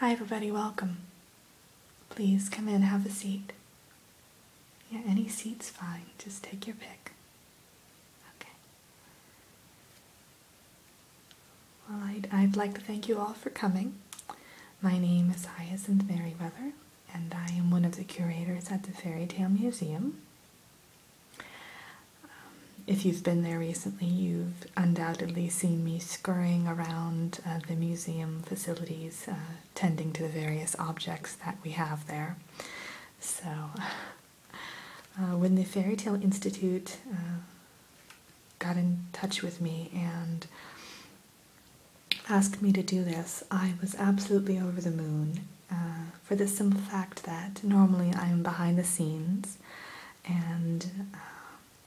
Hi, everybody, welcome. Please come in, have a seat. Yeah, any seat's fine, just take your pick. Okay. Well, I'd, I'd like to thank you all for coming. My name is Hyacinth Merriweather and I am one of the curators at the Fairy Tale Museum. Um, if you've been there recently, you've undoubtedly seen me scurrying around uh, the museum facilities, uh, tending to the various objects that we have there. So, uh, when the Fairy Tale Institute got in touch with me and asked me to do this, I was absolutely over the moon uh, for the simple fact that normally I am behind the scenes and uh,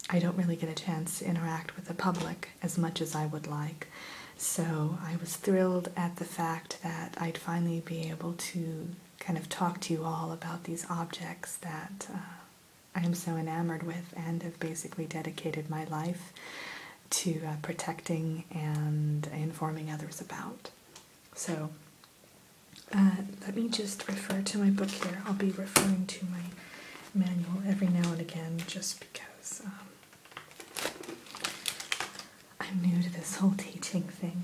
I don't really get a chance to interact with the public as much as I would like. So I was thrilled at the fact that I'd finally be able to kind of talk to you all about these objects that uh, I am so enamored with and have basically dedicated my life to uh, protecting and informing others about. So uh, let me just refer to my book here. I'll be referring to my manual every now and again just because um, I'm new to this whole teaching thing.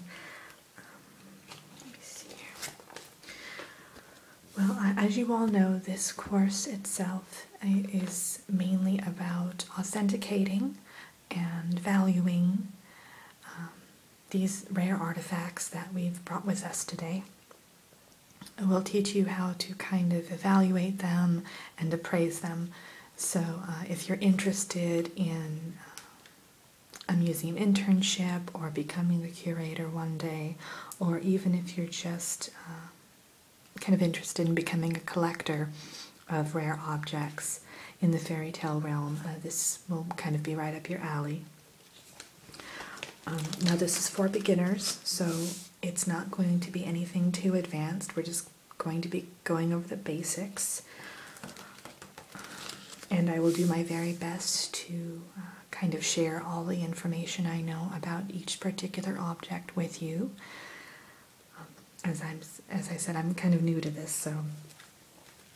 Um, well, as you all know, this course itself month is mainly about authenticating and valuing um, these rare artifacts that we've brought with us today. We'll teach you how to kind of evaluate them and appraise them. So, uh, if you're interested in uh, a museum internship or becoming the curator one day, or even if you're just uh, kind of interested in becoming a collector of rare objects in the fairy tale realm. Uh, this will kind of be right up your alley. Um, now, this is for beginners, so it's not going to be anything too advanced. We're just going to be going over the basics. And I will do my very best to uh, kind of share all the information I know about each particular object with you. Um, as I'm, as I said, I'm kind of new to this, so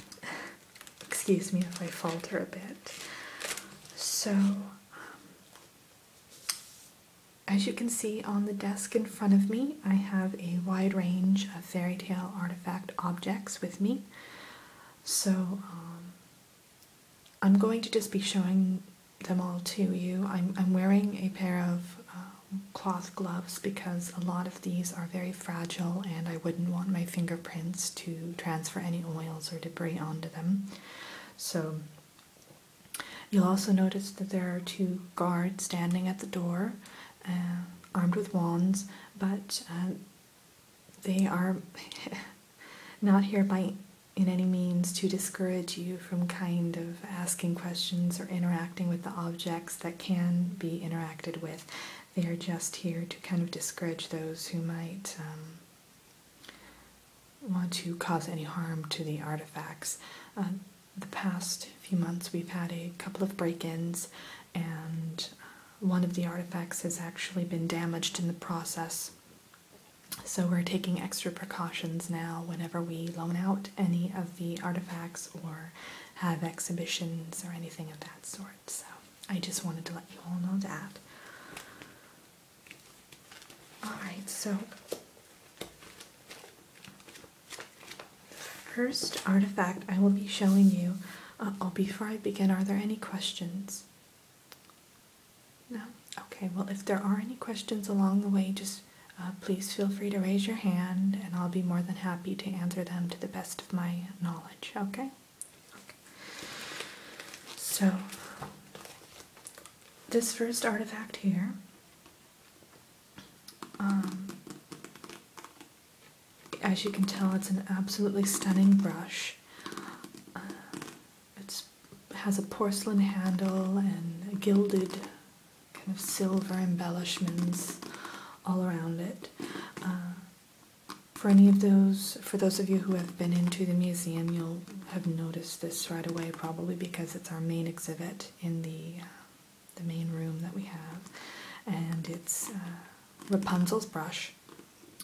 excuse me if I falter a bit. So, um, as you can see on the desk in front of me, I have a wide range of fairy tale artifact objects with me. So, um, I'm going to just be showing them all to you. I'm, I'm wearing a pair of um, cloth gloves because a lot of these are very fragile and I wouldn't want my fingerprints to transfer any oils or debris onto them. So you'll also notice that there are two guards standing at the door uh, armed with wands, but uh, they are not here by in any means to discourage you from kind of asking questions or interacting with the objects that can be interacted with. They are just here to kind of discourage those who might um, want to cause any harm to the artifacts. Um, the past few months we've had a couple of break-ins and uh, one of the artifacts has actually been damaged in the process. So we're taking extra precautions now whenever we loan out any of the artifacts or have exhibitions or anything of that sort. So I just wanted to let you all know that. Alright, so first artifact I will be showing you. oh, before I begin, are there any questions? No? Okay, well, if there are any questions along the way, just uh, please feel free to raise your hand and I'll be more than happy to answer them to the best of my knowledge, okay? So, this first artifact here um, as you can tell, it's an absolutely stunning brush. Uh, it's has a porcelain handle and gilded kind of silver embellishments all around it. Uh, for any of those, for those of you who have been into the museum, you'll have noticed this right away, probably because it's our main exhibit in the uh, the main room that we have, and it's uh, Rapunzel's brush.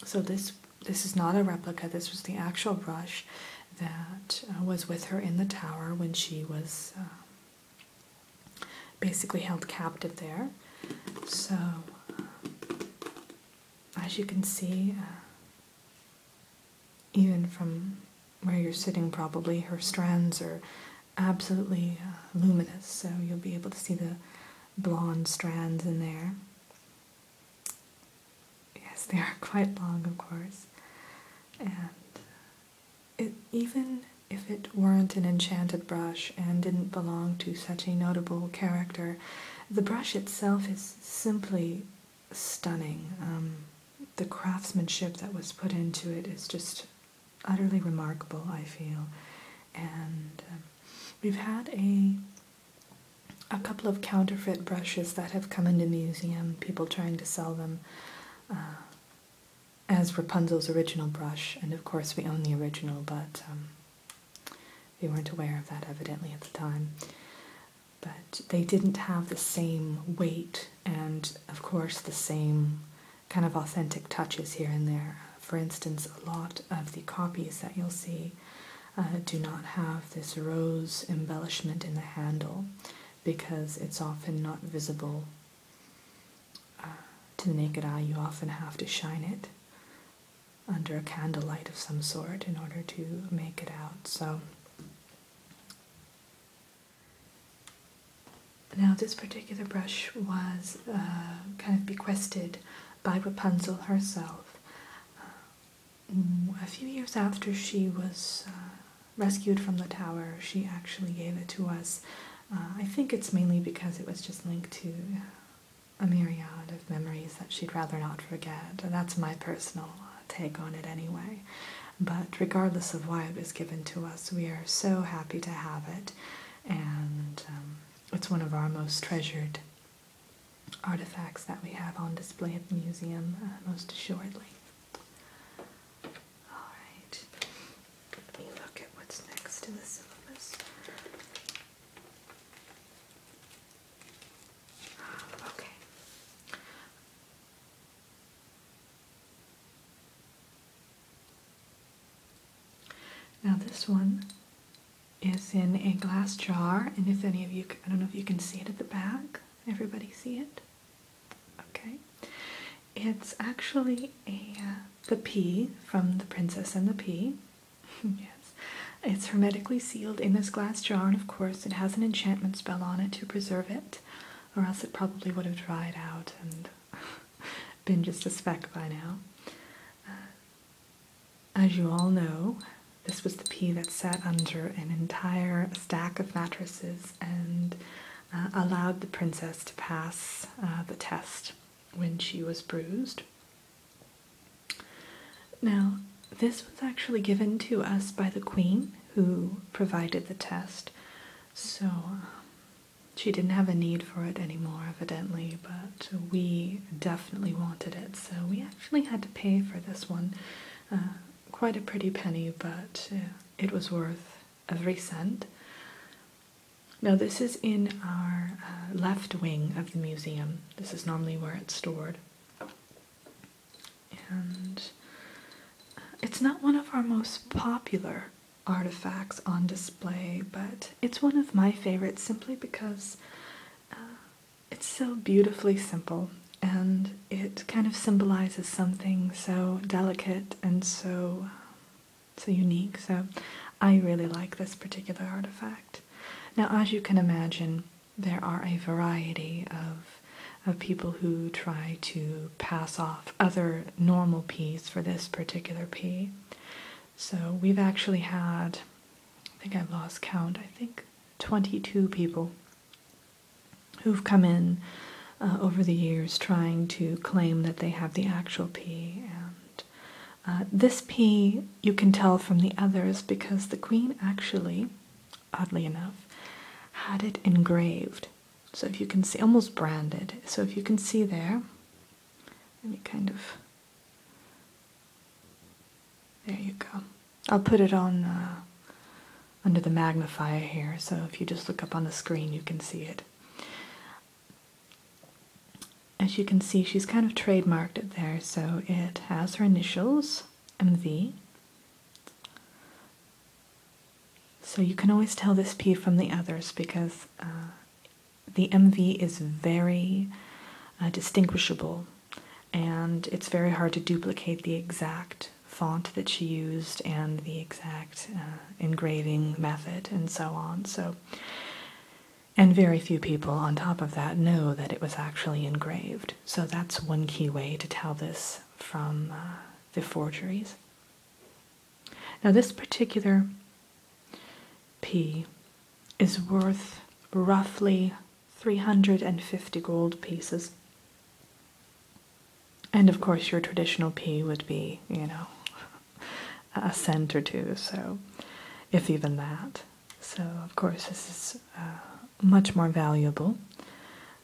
So this this is not a replica. This was the actual brush, that uh, was with her in the tower when she was uh, basically held captive there. So, uh, as you can see, even from where you're sitting, probably her strands are absolutely luminous, so you'll be able to see the blonde strands in there. Yes, they are quite long, of course. And even if it weren't an enchanted brush and didn't belong to such a notable character, the brush itself is simply stunning. Um, the craftsmanship that was put into it is just utterly remarkable, I feel. And um, we've had a a couple of counterfeit brushes that have come into museum, people trying to sell them uh, as Rapunzel's original brush, and of course we own the original, but um, we weren't aware of that evidently at the time. But they didn't have the same weight and, of course, the same kind of authentic touches here and there. For instance, a lot of the copies that you'll see uh, do not have this rose embellishment in the handle because it's often not visible uh, to the naked eye. You often have to shine it under a candlelight of some sort in order to make it out. So now this particular brush was uh, kind of bequested by Rapunzel herself. Mm, a few years after she was uh, rescued from the tower, she actually gave it to us. Uh, I think it's mainly because it was just linked to uh, a myriad of memories that she'd rather not forget. That's my personal take on it anyway. But regardless of why it was given to us, we are so happy to have it. And um, it's one of our most treasured artifacts that we have on display at the museum, most assuredly. Alright, let me look at what's next in the syllabus. Ah, okay. Now this one is in a glass jar, and if any of you, I don't know if you can see it at the back. Everybody see it? Okay, it's actually a uh, the pea from The Princess and the Pea. yes, it's hermetically sealed in this glass jar, and of course, it has an enchantment spell on it to preserve it, or else it probably would have dried out and been just a speck by now. Uh, as you all know, this was the pea that sat under an entire stack of mattresses and uh, allowed the princess to pass uh, the test when she was bruised. Now, this was actually given to us by the queen who provided the test, so she didn't have a need for it anymore, evidently, but we definitely wanted it, so we actually had to pay for this one. Uh, quite a pretty penny, but uh, it was worth every cent. Now, this is in our uh, left wing of the museum. This is normally where it's stored. And uh, it's not one of our most popular artifacts on display, but it's one of my favorites simply because it's so beautifully simple and it kind of symbolizes something so delicate and so um, so unique. So I really like this particular artifact. Now, as you can imagine, there are a variety of of people who try to pass off other normal peas for this particular pea. So we've actually had, I think I've lost count, I think 22 people who've come in uh, over the years trying to claim that they have the actual P. And uh, this P you can tell from the others because the Queen actually, oddly enough, had it engraved. So if you can see, almost branded. So if you can see there, let me kind of there you go. I'll put it on uh, under the magnifier here, so if you just look up on the screen, you can see it. As you can see, she's kind of trademarked it there, so it has her initials, MV. So you can always tell this P from the others because uh, the MV is very uh, distinguishable and it's very hard to duplicate the exact font that she used and the exact uh, engraving method and so on. So, and very few people on top of that know that it was actually engraved. So that's one key way to tell this from uh, the forgeries. Now this particular P is worth roughly 350 gold pieces. And of course, your traditional P would be, you know, a cent or two, so if even that. So, of course, this is uh, much more valuable.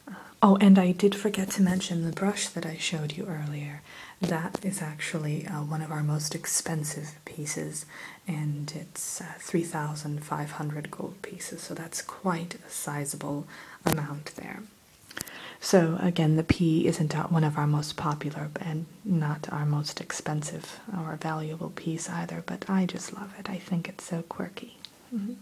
Uh, oh, and I did forget to mention the brush that I showed you earlier. That is actually uh, one of our most expensive pieces, and it's 3,500 gold pieces, so that's quite a sizable amount there. So, again, the pea isn't one of our most popular and not our most expensive or valuable piece either, but I just love it. I think it's so quirky. Mm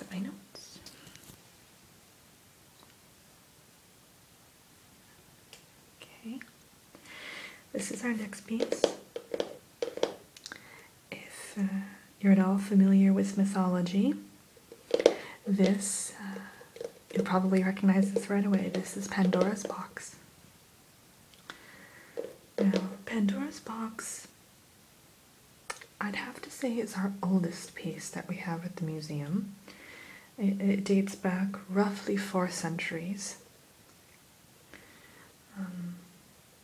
at my notes. Okay, this is our next piece. If uh, you're at all familiar with mythology, this, uh, you'll probably recognize this right away. This is Pandora's Box. Now, Pandora's Box I'd have to say it's our oldest piece that we have at the museum. It, dates back roughly four centuries, um,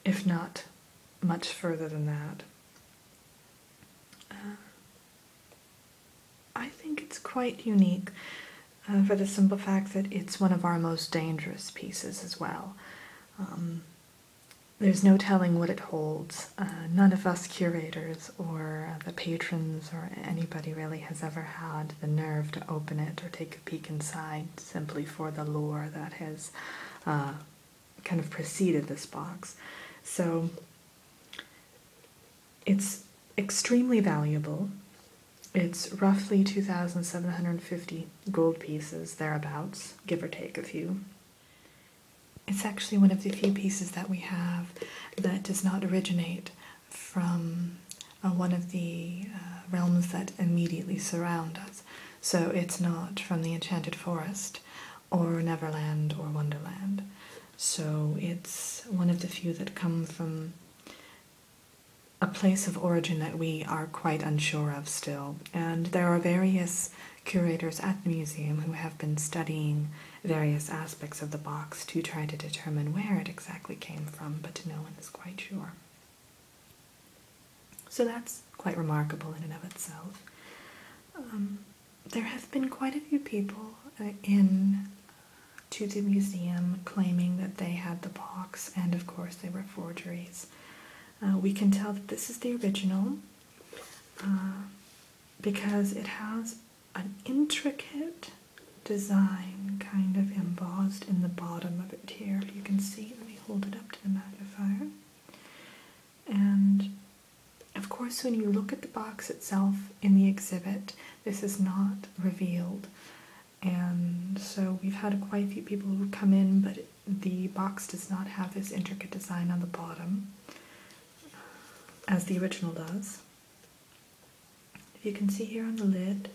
if not much further than that. Uh, I think it's quite unique uh, for the simple fact that it's one of our most dangerous pieces as well. Um, there's no telling what it holds. Uh, none of us curators or uh, the patrons or anybody really has ever had the nerve to open it or take a peek inside simply for the lore that has uh, kind of preceded this box. So it's extremely valuable. It's roughly 2,750 gold pieces, thereabouts, give or take a few. It's actually one of the few pieces that we have that does not originate from uh, one of the uh, realms that immediately surround us. So it's not from the Enchanted Forest or Neverland or Wonderland. So it's one of the few that come from a place of origin that we are quite unsure of still. And there are various curators at the museum who have been studying various aspects of the box to try to determine where it exactly came from, but no one is quite sure. So that's quite remarkable in and of itself. Um, there have been quite a few people uh, in to the museum claiming that they had the box, and of course they were forgeries. Uh, we can tell that this is the original. Uh, because it has an intricate design kind of embossed in the bottom of it here. You can see, let me hold it up to the magnifier. And of course, when you look at the box itself in the exhibit, this is not revealed. And so we've had quite a few people who come in, but the box does not have this intricate design on the bottom as the original does. you can see here on the lid,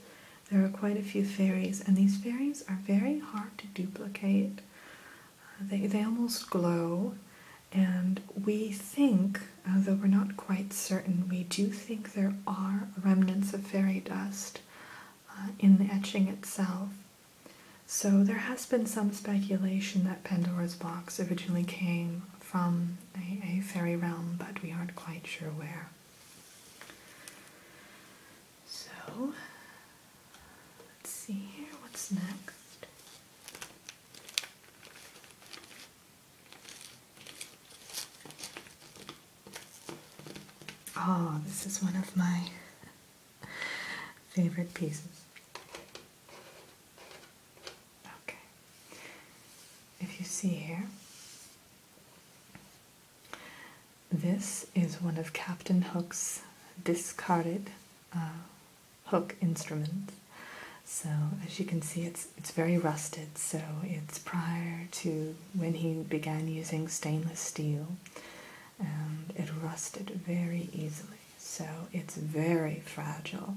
there are quite a few fairies, and these fairies are very hard to duplicate. Uh, they, they almost glow, and we think, though we're not quite certain, we do think there are remnants of fairy dust uh, in the etching itself. So there has been some speculation that Pandora's box originally came from a, fairy realm, but we aren't quite sure where. So let's see here, what's next? Oh, this is one of my favorite pieces. Okay. If you see here, this is one of Captain Hook's discarded uh, hook instruments. So as you can see, it's it's very rusted. So it's prior to when he began using stainless steel, and it rusted very easily. So it's very fragile,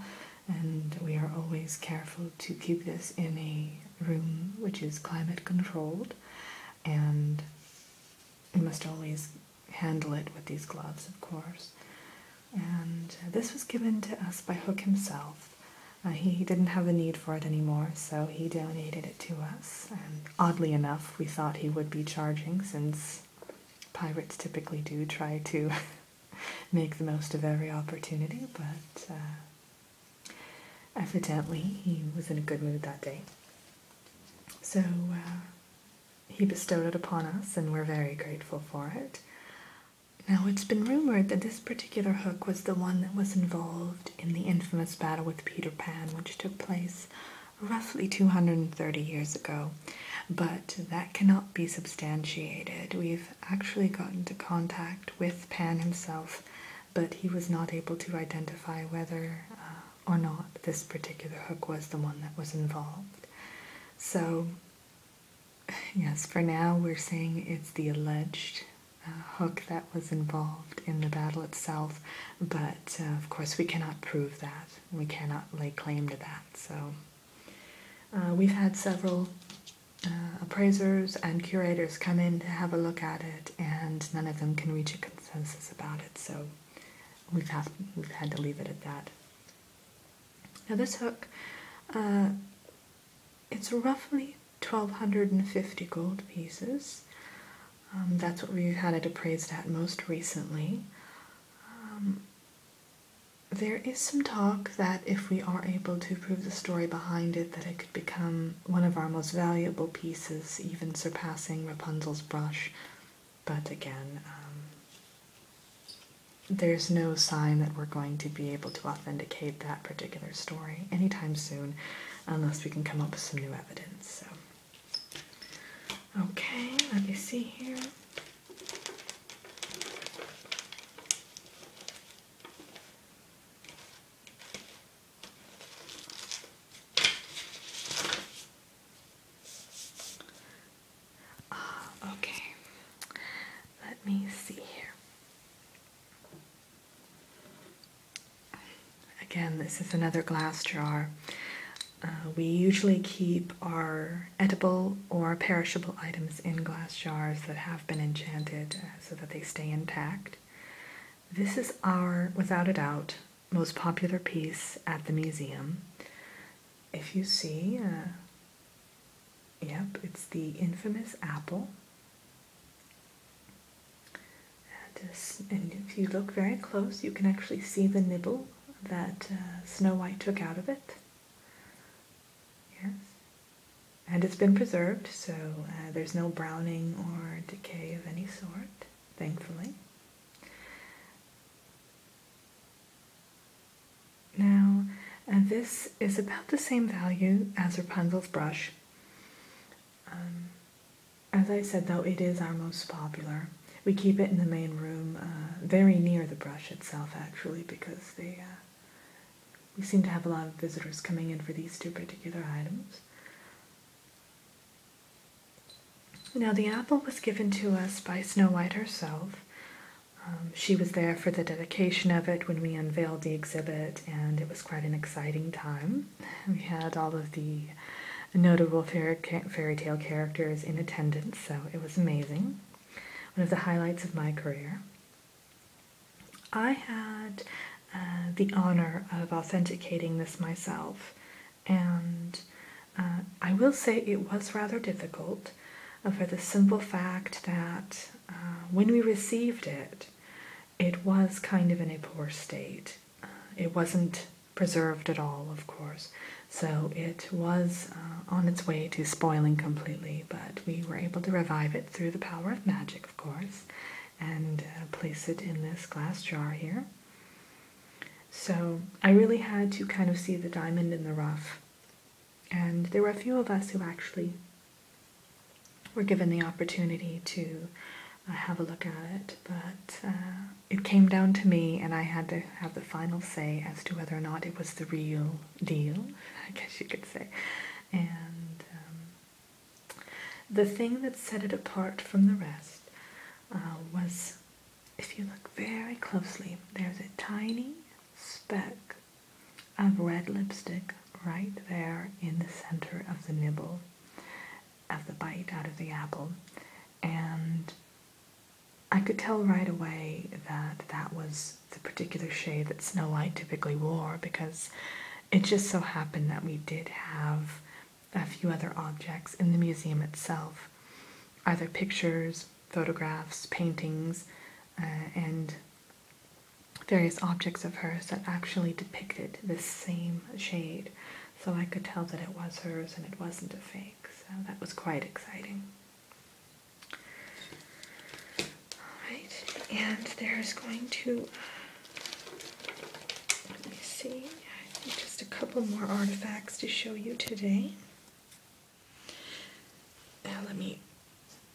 and we are always careful to keep this in a room which is climate controlled, and we must always handle it with these gloves, of course. And this was given to us by Hook himself. Uh, he didn't have a need for it anymore, so he donated it to us. And oddly enough, we thought he would be charging since Pirates typically do try to make the most of every opportunity, but uh, evidently he was in a good mood that day. So uh, he bestowed it upon us, and we're very grateful for it. Now, it's been rumored that this particular hook was the one that was involved in the infamous battle with Peter Pan, which took place roughly 230 years ago, but that cannot be substantiated. We've actually got into contact with Pan himself, but he was not able to identify whether uh, or not this particular hook was the one that was involved. So, yes, for now we're saying it's the alleged uh, hook that was involved in the battle itself, but uh, of course we cannot prove that. We cannot lay claim to that. So uh, we've had several uh, appraisers and curators come in to have a look at it, and none of them can reach a consensus about it. So we've have, we've had to leave it at that. Now this hook, uh, it's roughly 1,250 gold pieces. Um, that's what we've had it appraised at most recently. Um, there is some talk that if we are able to prove the story behind it, that it could become one of our most valuable pieces, even surpassing Rapunzel's brush. But again, um, there's no sign that we're going to be able to authenticate that particular story anytime soon unless we can come up with some new evidence. So Okay, let me see here. Ah, okay. Let me see here. Again, this is another glass jar. Uh, we usually keep our edible or perishable items in glass jars that have been enchanted uh, so that they stay intact. This is our, without a doubt, most popular piece at the museum. If you see, uh, yep, it's the infamous apple. and if you look very close, you can actually see the nibble that uh, Snow White took out of it. Yes. And it's been preserved, so uh, there's no browning or decay of any sort, thankfully. Now, uh, this is about the same value as Rapunzel's brush. Um, as I said, though, it is our most popular we keep it in the main room, uh, very near the brush itself, actually, because they uh, we seem to have a lot of visitors coming in for these two particular items. Now, the apple was given to us by Snow White herself. Um, she was there for the dedication of it when we unveiled the exhibit, and it was quite an exciting time. We had all of the notable fairy tale characters in attendance, so it was amazing. One of the highlights of my career. I had uh, the honor of authenticating this myself, and uh, I will say it was rather difficult uh, for the simple fact that when we received it, it was kind of in a poor state. Uh, it wasn't preserved at all, of course, so it was uh, on its way to spoiling completely, but we were able to revive it through the power of magic, of course, and uh, place it in this glass jar here. So I really had to kind of see the diamond in the rough. And there were a few of us who actually were given the opportunity to have a look at it but uh, it came down to me, and I had to have the final say as to whether or not it was the real deal, I guess you could say. And um, the thing that set it apart from the rest uh, was if you look very closely, there's a tiny speck of red lipstick right there in the center of the nibble of the bite out of the apple. And I could tell right away that that was the particular shade that Snow White typically wore because it just so happened that we did have a few other objects in the museum itself either pictures, photographs, paintings, uh, and various objects of hers that actually depicted this same shade so I could tell that it was hers and it wasn't a fake. So that was quite exciting. Alright, and there's going to, let me see, just a couple more artifacts to show you today. let me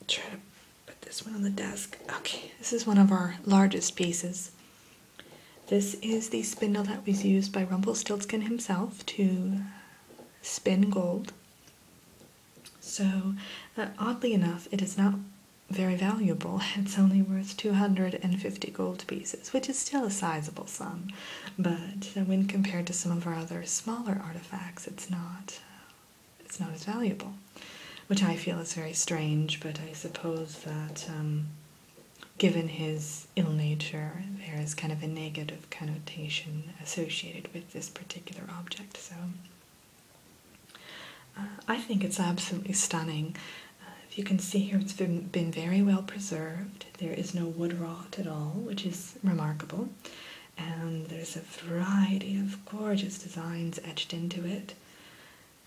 try to put this one on the desk. Okay, this is one of our largest pieces. This is the spindle that was used by Rumpelstiltskin himself to spin gold. So, uh, oddly enough, it is not very valuable. It's only worth 250 gold pieces, which is still a sizable sum, but when compared to some of our other smaller artifacts, it's not it's not as valuable, which I feel is very strange, but I suppose that um, given his ill nature, there is kind of a negative connotation associated with this particular object. So uh, I think it's absolutely stunning. Uh, if you can see here, it's been, very well preserved. There is no wood rot at all, which is remarkable. And there's a variety of gorgeous designs etched into it.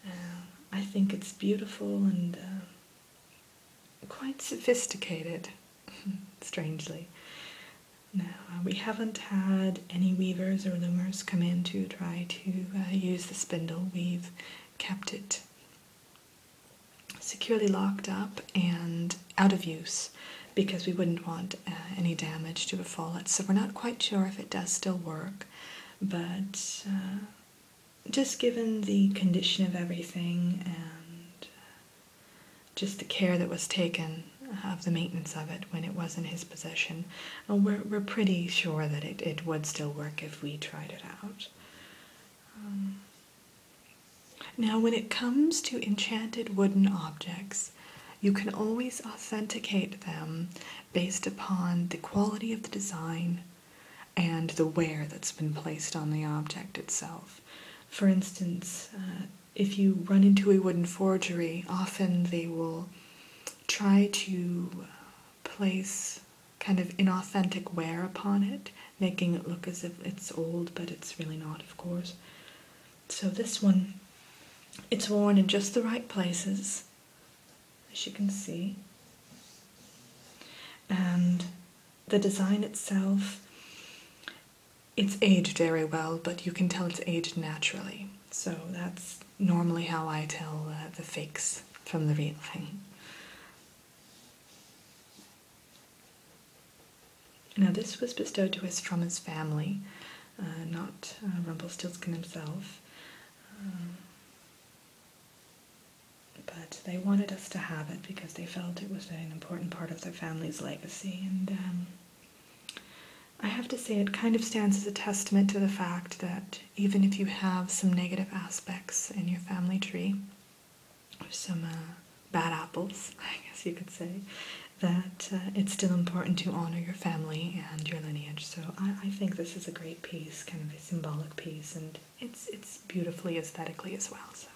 Uh, I think it's beautiful and quite sophisticated, strangely. Now, uh, we haven't had any weavers or loomers come in to try to uh, use the spindle. We've kept it securely locked up and out of use because we wouldn't want uh, any damage to befall it. So we're not quite sure if it does still work, but just given the condition of everything and uh, just the care that was taken of the maintenance of it when it was in his possession, uh, we're, pretty sure that it, it would still work if we tried it out. Um, now, when it comes to enchanted wooden objects, you can always authenticate them based upon the quality of the design, and the wear that's been placed on the object itself. For instance, uh, if you run into a wooden forgery, often they will try to uh, place kind of inauthentic wear upon it, making it look as if it's old, but it's really not, of course. So this one, it's worn in just the right places, as you can see. And the design itself, it's aged very well, but you can tell it's aged naturally. So that's normally how I tell uh, the fakes from the real thing. Now this was bestowed to us from his family, uh, not uh, Rumpelstiltskin himself. Um, but they wanted us to have it because they felt it was an important part of their family's legacy. And um, I have to say, it kind of stands as a testament to the fact that even if you have some negative aspects in your family tree, some uh, bad apples, I guess you could say, that uh, it's still important to honor your family and your lineage. So I, I think this is a great piece, kind of a symbolic piece, and it's it's beautifully aesthetically as well. So,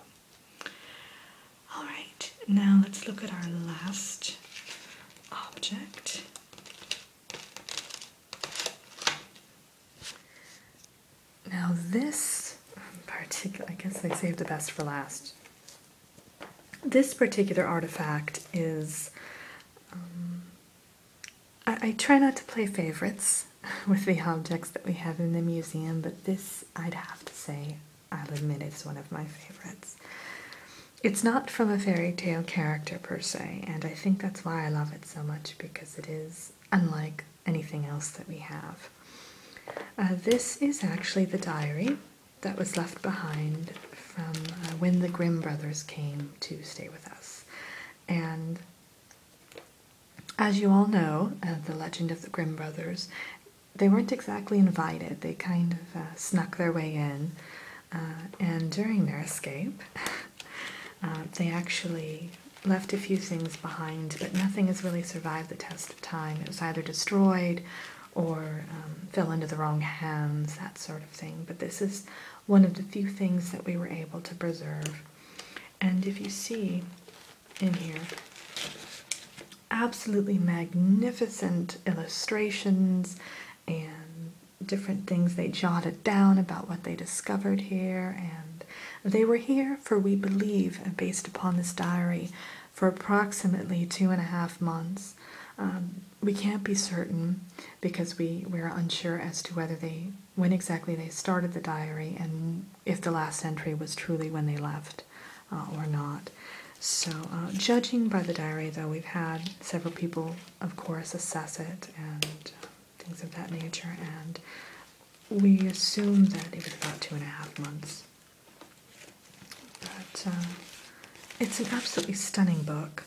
all right, now let's look at our last object. Now this particular, I guess they saved the best for last. This particular artifact is um, I, try not to play favorites with the objects that we have in the museum, but this, I'd have to say, I'll admit is one of my favorites. It's not from a fairy tale character per se, and I think that's why I love it so much because it is unlike anything else that we have. Uh, this is actually the diary that was left behind from uh, when the Grimm brothers came to stay with us. And as you all know, uh, the legend of the Grimm brothers, they weren't exactly invited. They kind of uh, snuck their way in, uh, and during their escape, they actually left a few things behind, but nothing has really survived the test of time. It was either destroyed or um, fell into the wrong hands, that sort of thing. But this is one of the few things that we were able to preserve. And if you see in here, absolutely magnificent illustrations and different things they jotted down about what they discovered here. And they were here for, we believe, based upon this diary, for approximately two and a half months. Um, we can't be certain because we, we're unsure as to whether they when exactly they started the diary and if the last entry was truly when they left uh, or not. So, uh, judging by the diary, though, we've had several people, of course, assess it and uh, things of that nature, and we assume that it was about two and a half months. But it's an absolutely stunning book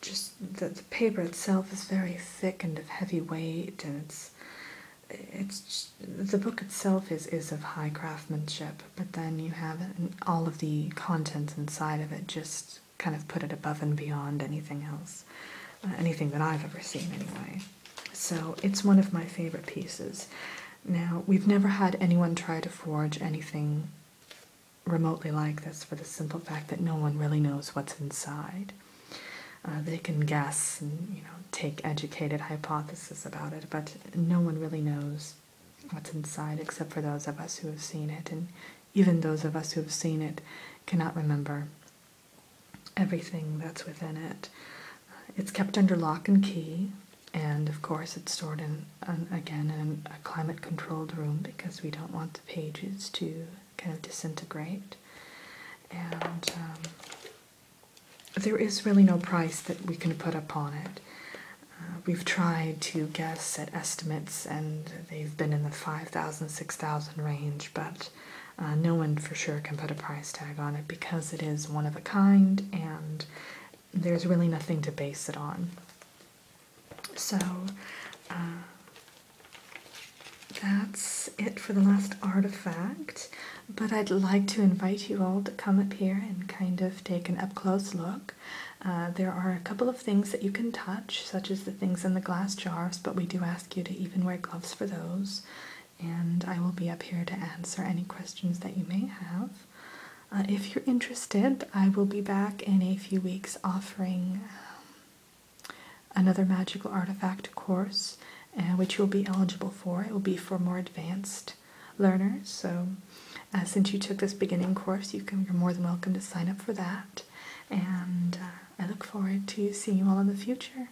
just the, the paper itself is very thick and of heavy weight, and it's it's the book itself is is of high craftsmanship. But then you have all of the contents inside of it just kind of put it above and beyond anything else, uh, anything that I've ever seen anyway. So it's one of my favorite pieces. Now we've never had anyone try to forge anything remotely like this for the simple fact that no one really knows what's inside. Uh, they can guess and you know take educated hypotheses about it, but no one really knows what's inside except for those of us who have seen it, and even those of us who have seen it cannot remember everything that's within it. Uh, it's kept under lock and key, and of course it's stored in, again in a climate-controlled room because we don't want the pages to kind of disintegrate. And um, there is really no price that we can put upon it. Uh, we've tried to guess at estimates, and they've been in the 5,000, 6,000 range, but uh, no one for sure can put a price tag on it because it is one of a kind and there's really nothing to base it on. So uh, that's it for the last artifact, but I'd like to invite you all to come up here and kind of take an up close look. Uh, there are a couple of things that you can touch, such as the things in the glass jars, but we do ask you to even wear gloves for those. And I will be up here to answer any questions that you may have. Uh, if you're interested, I will be back in a few weeks offering um, Another magical artifact course, uh, which you'll be eligible for, it will be for more advanced learners. So, uh, since you took this beginning course, you are more than welcome to sign up for that. And uh, I look forward to seeing you all in the future.